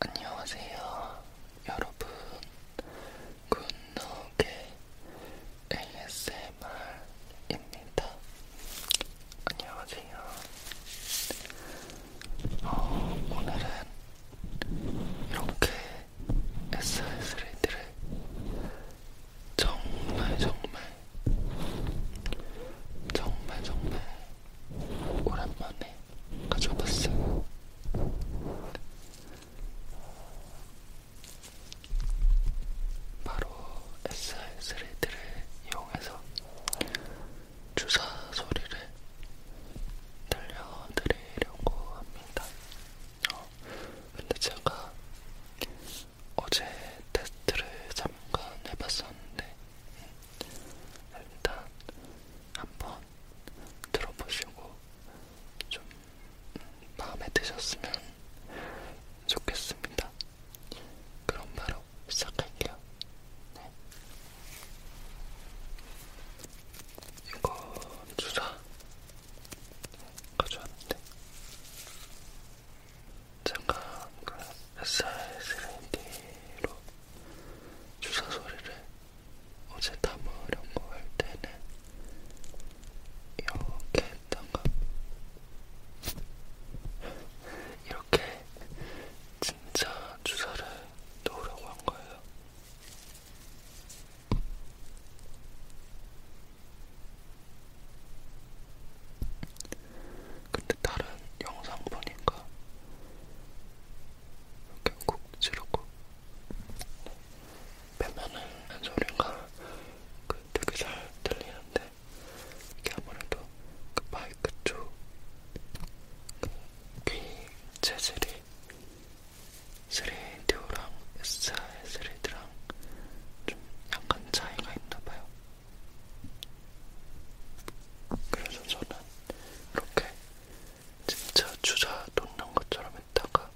안녕하세요 여러분 굿노게 ASMR입니다 안녕하세요 어, 오늘은 이렇게 SS레이드를 정말 정말 정말 정말 오랜만에 가져봤어요. 바로 SR3D를 이용해서 주사 소리를 들려드리려고 합니다. 어, 근데 제가 어제 테스트를 잠깐 해봤었는데 음, 일단 한번 들어보시고 좀 마음에 드셨으면 좋겠습니다. 그럼 바로 시작할게요. 네. 이거 주사 가져왔는데 잠깐 그 SR3D로 주사 소리를 어제 담으려고 할 때는 이렇게 했던가 이렇게 진짜 주사를 놓으려고 한 거예요. 근데 다른 영상 보니까 결국 지르고 빼면은 한 소리가 그 되게 잘 들리는데 이게 아무래도 그 마이크 쪽귀 그 재질이 3D랑 SI 3D랑 좀 약간 차이가 있나봐요. 그래서 저는 이렇게 진짜 주사 놓는 것처럼 했다가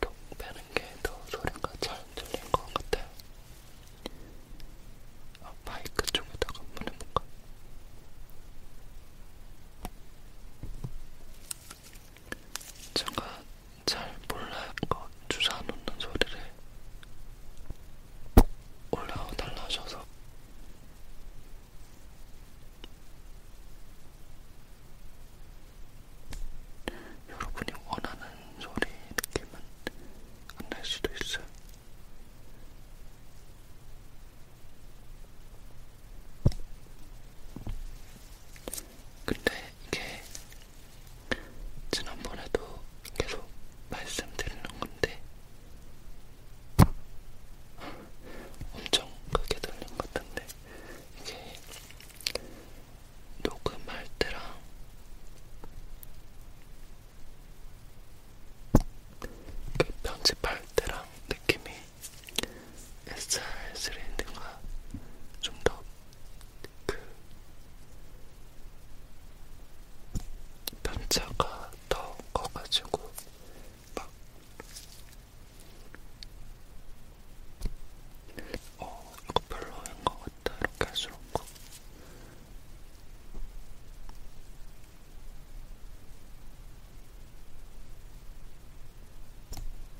톡 빼는 게 더 소리가 잘 들린 것 같아요. 아, 마이크 쪽에다가 한번 해볼까? 제가 잘 몰라요. 주사 놓는 소리를 올려달라 하셔서 여러분이 원하는 소리 느낌은 안날 수도 있어요. 근데 이게 지난번에도 계속 말씀드리는 건데 엄청 크게 들린 것 같은데 이게 녹음할 때랑 그 편집할 때랑 느낌이 SR3 엔딩과 좀더 그 편차가 더 커가지고 막 어, 이거 별로인 것 같다. 이렇게 할수록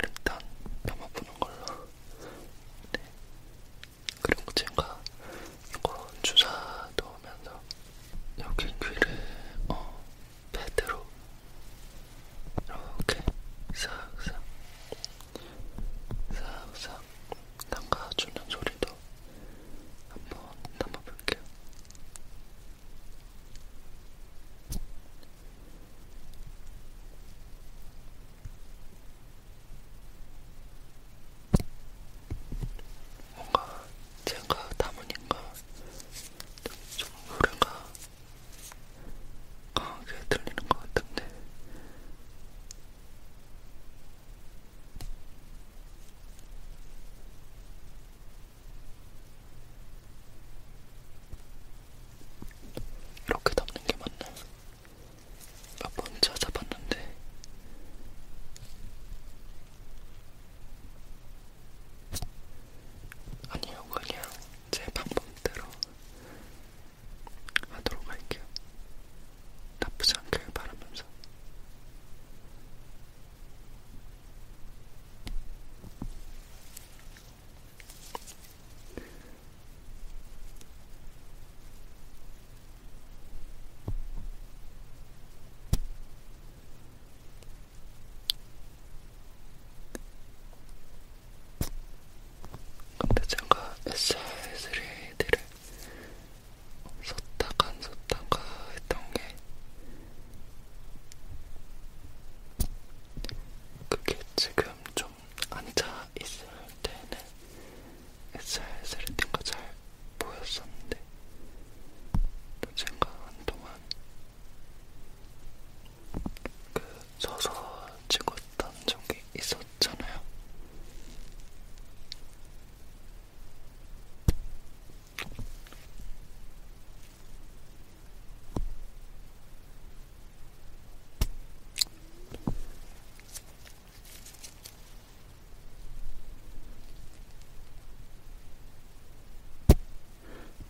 일단 담아보는 걸로. 네. 그리고 제가 이거 주사 넣으면서 여기 귀를 어 패드로 이렇게 싹싹 싹싹 담가주는 소리도 한번 담아볼게요. 뭔가 제가 담으니까 좀 노래가 강하게 어, 들리는 것 같은데 이렇게 담는 게 맞나요? 몇번 찾아봤는데 아니요, 그냥 제 방법대로 하도록 할게요. 나쁘지 않길 바라면서. 근데 제가 SR3D를 썼다가 안 썼다가 했던 게 그게 지금 좀 앉아 있을 때는 SR3D가 잘 보였었는데 또 제가 한동안 그 서서 찍었던 적이 있었잖아요.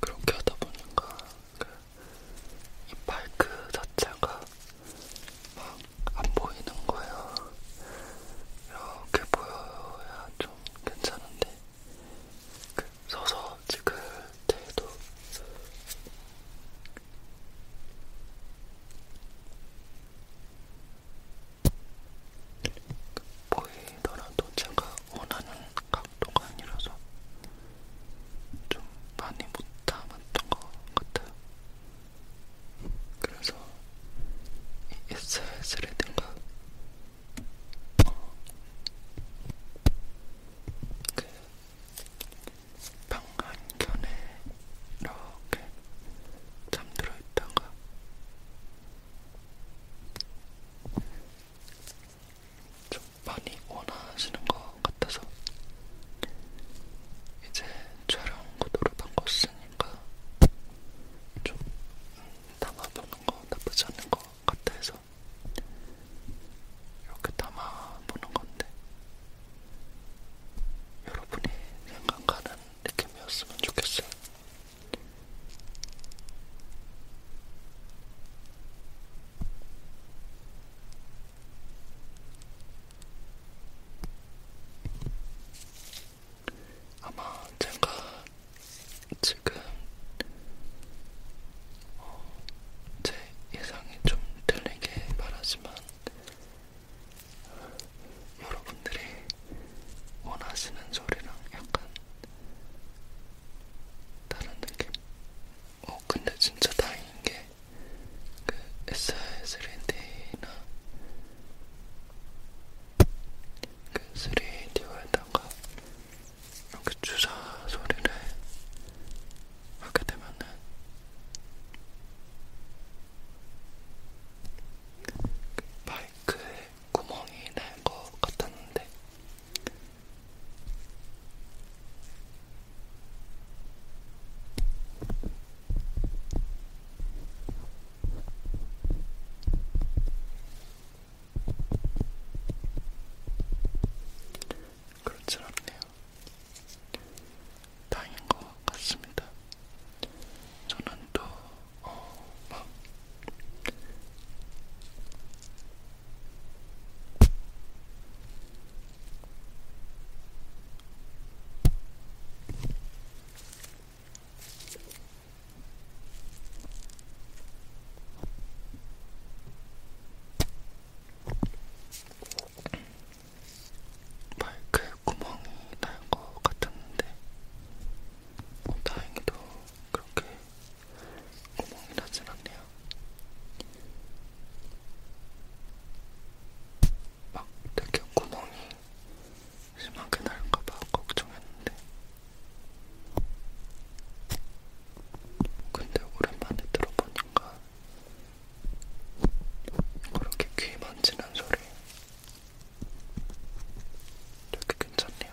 그렇게 하다 보니까 그 이 마이크 자체가 막 안 보이는 거예요. 이렇게 보여야 좀 괜찮은데 그 서서 찍을 때도 보이더라도 제가 원하는 각도가 아니라서 좀 많이 못 담았던 것 같아요. 그래서 이 SS라든가 어, 그 방한켠에 이렇게 잠들어 있다가 좀 많이 원하시는 것 같아서 이제 촬영 구도를 바꿨으니까 좀 담아보는 거 나쁘지 않은 것 같아서 이렇게 담아보는 건데 여러분이 생각하는 느낌이었으면 좋겠어요. 아마 제가 지금 어, 제 예상이 좀 틀리게 말하지만 여러분들이 원하시는 소리랑 약간 다른 느낌? 어, 근데 진짜 다행인 게, 그, SR3D나, 그, 3D에다가, 이렇게 주사 소리를 하게 되면은, 그 마이크에 구멍이 날 것 같았는데 그렇진 않네요. 다행인 것 같습니다. 저는 또 어, 막 마이크에 구멍이 날 것 같았는데 어, 다행히도 그렇게 구멍이 나진 않네요. 막 되게 구멍이 심하게 날까봐 걱정했는데. 근데 오랜만에 들어보니까 그렇게 귀 만지는 소리 되게 괜찮네요.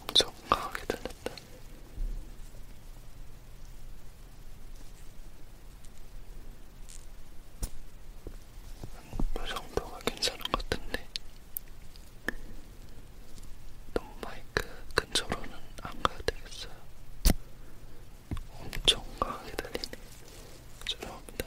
엄청 강하게 들렸다. 이 정도가 괜찮은 것 같은데 너무 마이크 근처로는 안 가야 되겠어요. 엄청 강하게 들리네. 죄송합니다.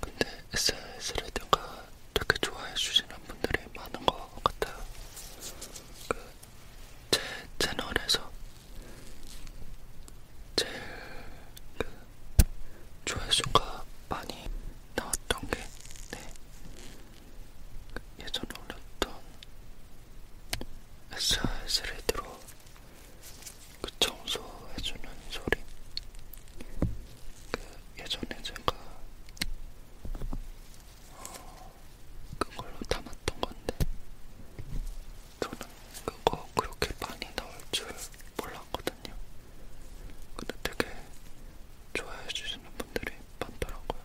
근데 SNS 레디가 되게 좋아해 주시는 분들이 많은 것 같아요. 그제 채널에서 제일 그 조회수가 많이 나왔던 게 네. 그 예전에 올렸던 SS레드로 그 청소해주는 소리 그 예전에 제가 어, 그걸로 담았던 건데 저는 그거 그렇게 많이 나올 줄 몰랐거든요. 근데 되게 좋아해 주시는 분들이 많더라고요.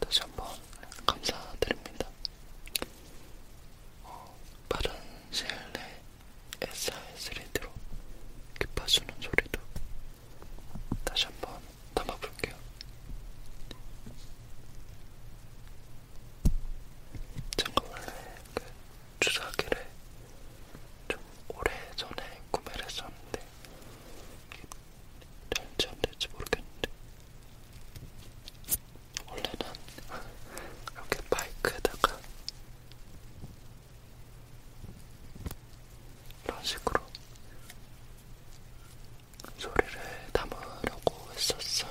다시 한번 감사드립니다. 어, 빠른 시일 내에 SR3D로 귓파주는 소리도 다시 한번 담아볼게요. 제가 원래 그 주사기를 좀 오래전에 구매를 했었는데 될지 안될지 모르겠는데 원래는 이렇게 바이크에다가 이런 식으로 소리를 담으려고 했었어요.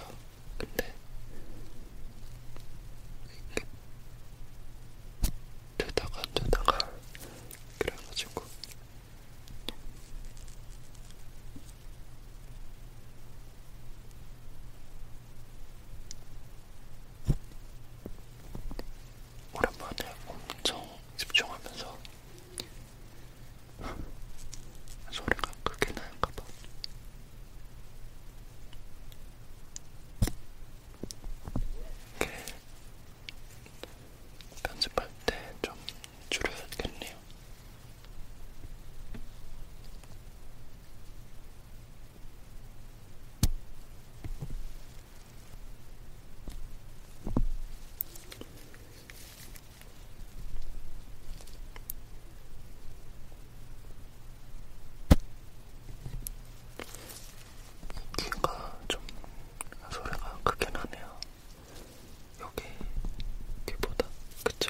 근데 이게 되다가 되다가 그래가지고 오랜만에 엄청 집중하면서 소리가 크게 나는가봐. 이렇게 편집할 때좀 줄여야겠네요. 귀가 좀 소리가 크게 나네요. 여기보다 그쵸?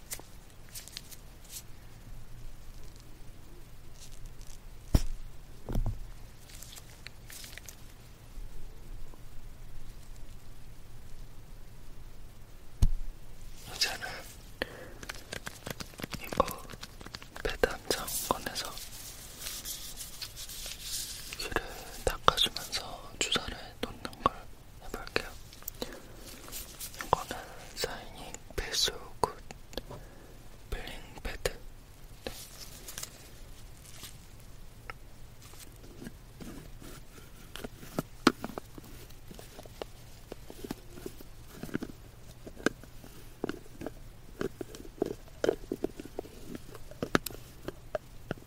이제는 이거 패드 한장 꺼내서 귀를 닦아주면서 주사를 놓는 걸 해볼게요. 이거는 사이닝 베스굿 블링 패드. 네.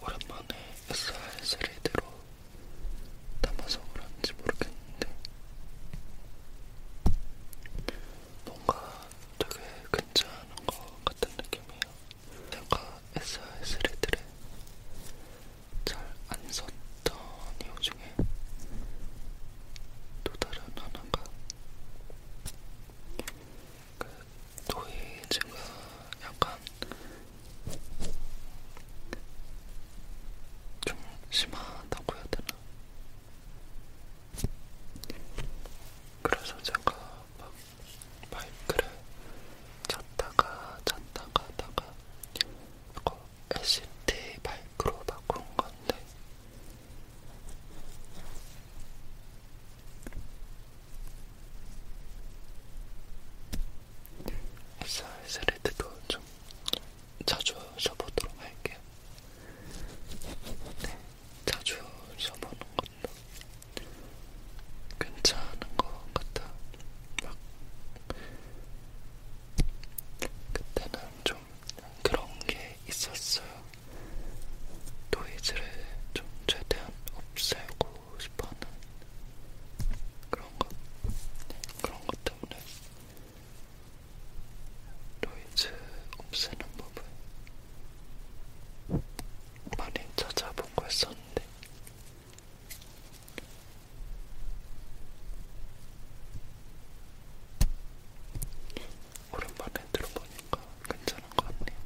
오랜만에 SR3D로 담아서 그런지 모르겠는데 뭔가 되게 괜찮은 것 같은 느낌이에요. 제가 SR3D를 잘 안 썼던 이유 중에 또 다른 하나가 그 또이 제가 약간 좀 심하다고 해야 되나? 그래서 제가 막 마이크를 찾다가 찾다가 다가 이거 LCD 마이크로 바꾼 건데 SRS레드도 좀 자주 써보도록 할게요. 네, 자주 써보는 것도 괜찮은 것 같아. 막 그때는 좀 그런 게 있었어요. 노이즈를 좀 최대한 없애고 싶어하는 그런 것 그런 것 때문에 노이즈 없애는 법을 많이 찾아보고 했었는데 오랜만에 들어보니까 괜찮은 괜찮은 것 같네요.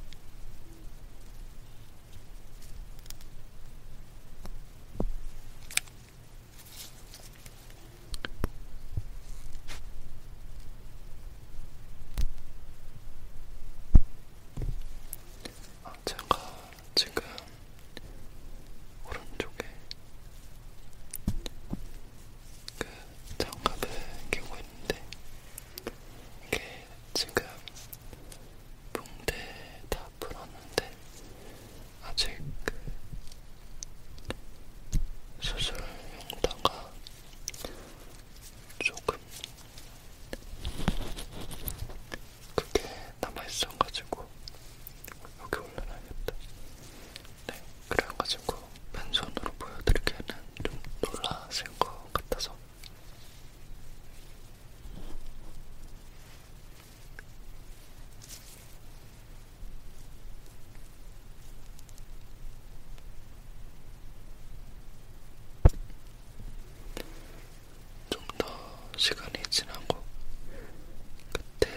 아, 제가 지금 오른쪽에 그 장갑을 끼고 있는데 이게 지금 붕대 다 풀었는데 아직 그 수술 용도가 조금 그게 남아있어가지고 여기 올려놔야겠다. 네, 그래가지고 맨손으로 보여드리기에는 좀 놀라실 것 같아서 좀더 시간이 지나고 그때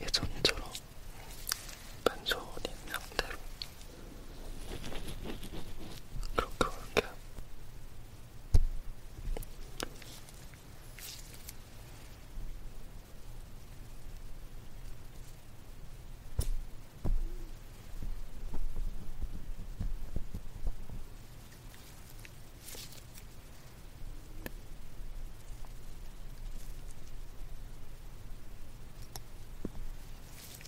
예전처럼 반소인 상태로 그렇게 올게요.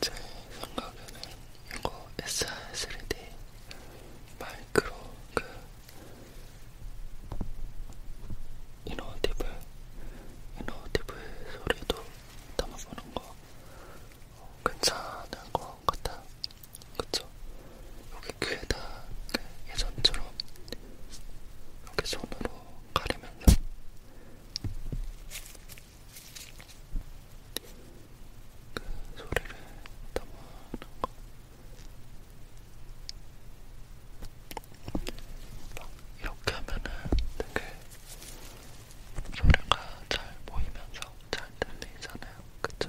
제 생각에는 이거 SR3D 마이크로 그 이노티브 이노티브 소리도 담아보는 거 어, 괜찮을 것 같아. 그쵸? 여기 귀에다 예전처럼 이렇게 손으로 가리면서 그 소리를 담아놓는 거. 이렇게 하면은 되게 소리가 잘 보이면서 잘 들리잖아요. 그쵸?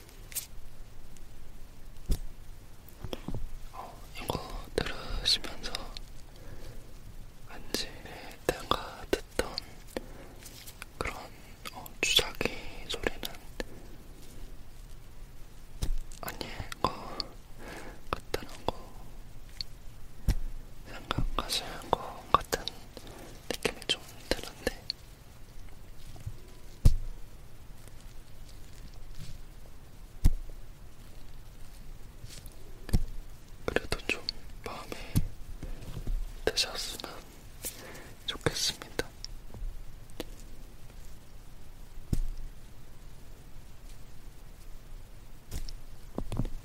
어, 이거 들으시면서 왠지 내가 듣던 그런 어, 주사기 소리는 아니에요 같다는 거 생각하시는 것 같은 느낌이 좀 드는데 그래도 좀 마음에 드셨으면 좋겠습니다.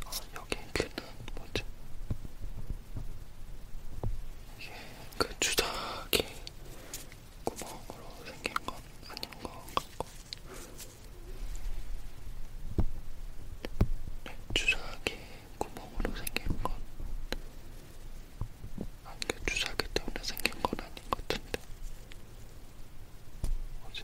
아, 여기 귀는 뭐지? 이게 그 주작이 구멍으로 생긴 건 아닌 것 같고 네, 주작이 구멍으로 생긴 건 아니 그 주작이 때문에 생긴 건 아닌 것 같은데 뭐지?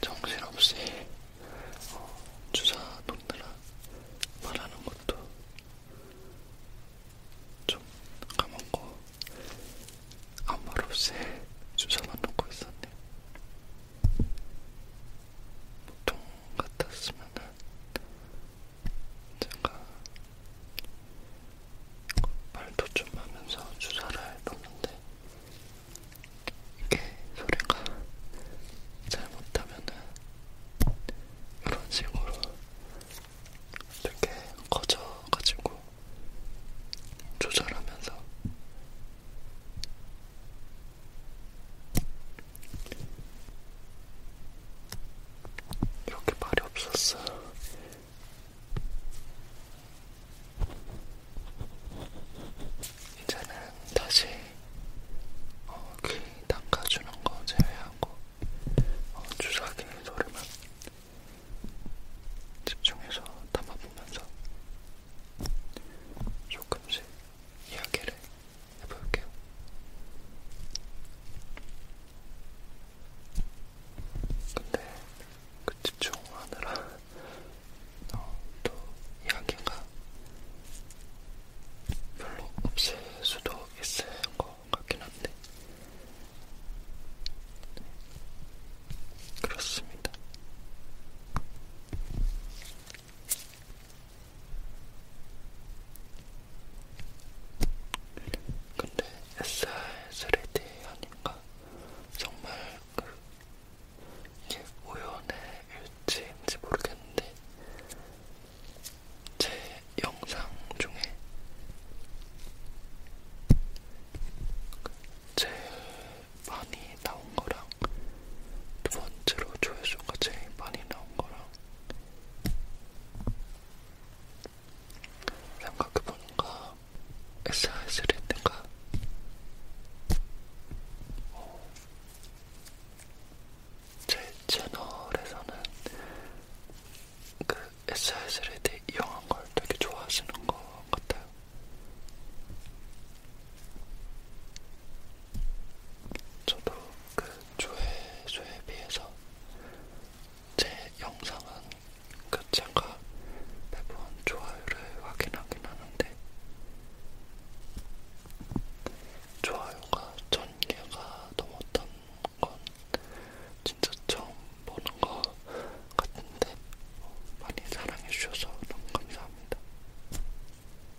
정신없이 어, 주사 놓느라 말하는 것도 좀 까먹고 아무 말 없이 주사만 놓고 있었네. 보통 같았으면은 제가 말도 좀 하면서 주사를 해봤는데 이게 소리가 잘못하면은 이런 식으로 되게 커져가지고 조절하면서 이렇게 말이 없었어. 이제는 다시 어, 귀 닦아주는 거 제외하고 어, 주사기 소리만 집중해서 담아보면서 조금씩 이야기를 해볼게요. 근데 그 집중하느라 어, 또 이야기가 별로 없을 수도 있을 것 같긴 한데 네, 그렇습니다. 근데 SR 3D 아닌가? 정말 그 이게 우연의 일치인지 모르겠는데 제 영상 중에 그 제일 많이 나온 거랑 두 번째로 조회수가 제일 많이 나온 거랑 생각해보니까 SIS를 했던가 어, 제 채널에서는 그 SIS를 이용한 걸 되게 좋아하시는 것 같아요. 저도 그 조회수에 비해서 제 영상은 그 제가 매번 좋아요를 확인하긴 하는데 좋아요가 천 개가 넘었던 건 진짜 처음 보는 것 같은데 어, 많이 사랑해주셔서 너무 감사합니다.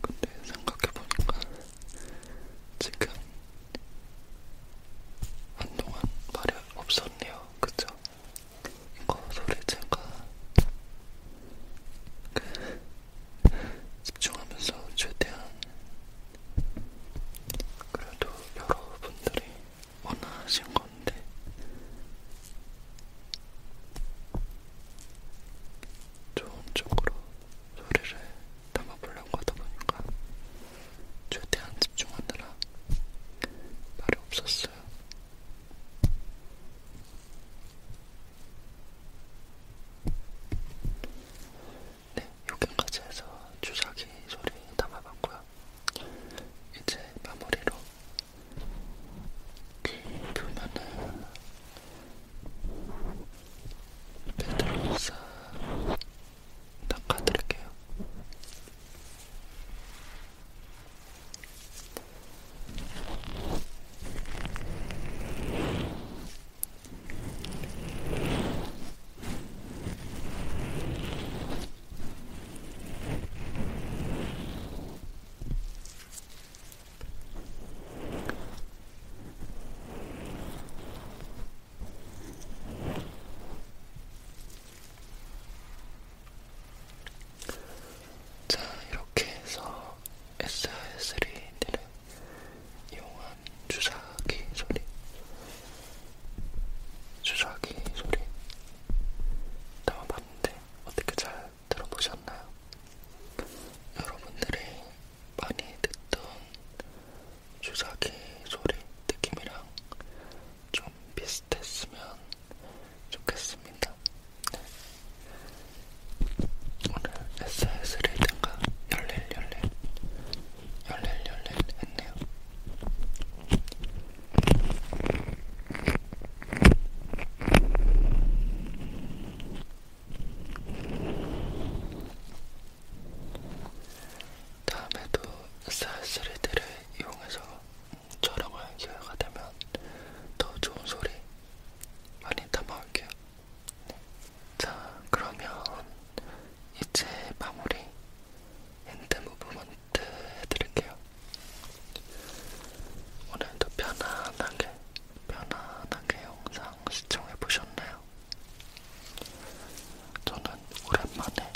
근데 생각해보니까 지금 한동안 말이 없었네요. 그죠? 이거 소리 제가 그 집중하면서 최대한 그래도 여러분들이 원하신 건데 좋은 쪽으로 소리를 담아보려고 하다 보니까 최대한 집중하느라 말이 없었어요. 네, 여기까지 해서 주사기 소리 담아봤고요. 이제 마무리로 귀 그 표면을 베드로사 닦아드릴게요. 자, 이렇게 해서 SR3를 이용한 주사기 소리, 주사기 소리 담아봤는데 어떻게 잘 들어보셨나요? 여러분들이 많이 듣던 주사기 소리 느낌이랑 좀 비슷했으면 좋겠습니다. 네. 오늘 SS 리딩가 열릴 열릴 열릴 열릴 했네요. 다음에도 사스리드를 이용해서 촬영할 기회가 되면 더 좋은 소리 많이 담아올게요. 네. 자, 그러면 이제 마무리 핸드 무브먼트 해드릴게요. 오늘도 편안하게, 편안하게 영상 영상 시청해 보셨나요? 저는 오랜만에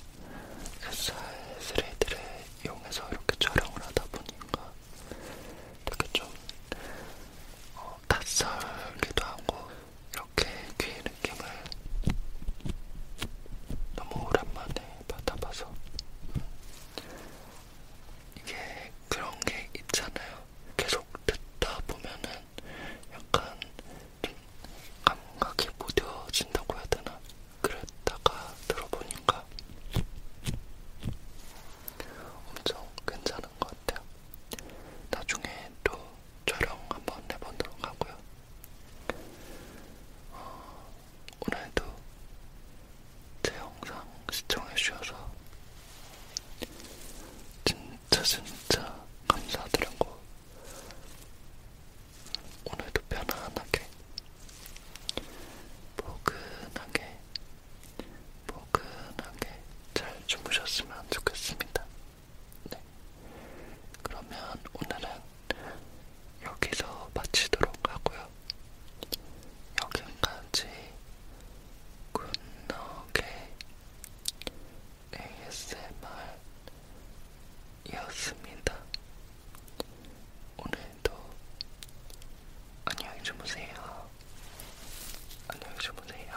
햇살 그 스레이드를 이용해서 이렇게 촬영을 하다 보니까 되게 좀 어, 낯설기도 하고 이렇게 귀 느낌을 너무 오랜만에 받아봐서 이게 그런 게 있잖아요. 계속 듣다 보면은 약간 좀 감각이 무뎌진다고 해야 되나? 그랬다가 들어보니까 엄청 괜찮은 것 같아요. 나중에 또 촬영 한번 해보도록 하고요. 어, 오늘도 제 영상 시청해주셔서 진짜 진짜 감사드리고 오늘도 편안하게 포근하게 포근하게 잘 주무셨으면 좋겠습니다. 네. 그러면 오늘은 여기서 마치도록 하고요. 여기까지 굿노게 ASMR이었습니다. 오늘도 안녕히 주무세요. 안녕히 주무세요.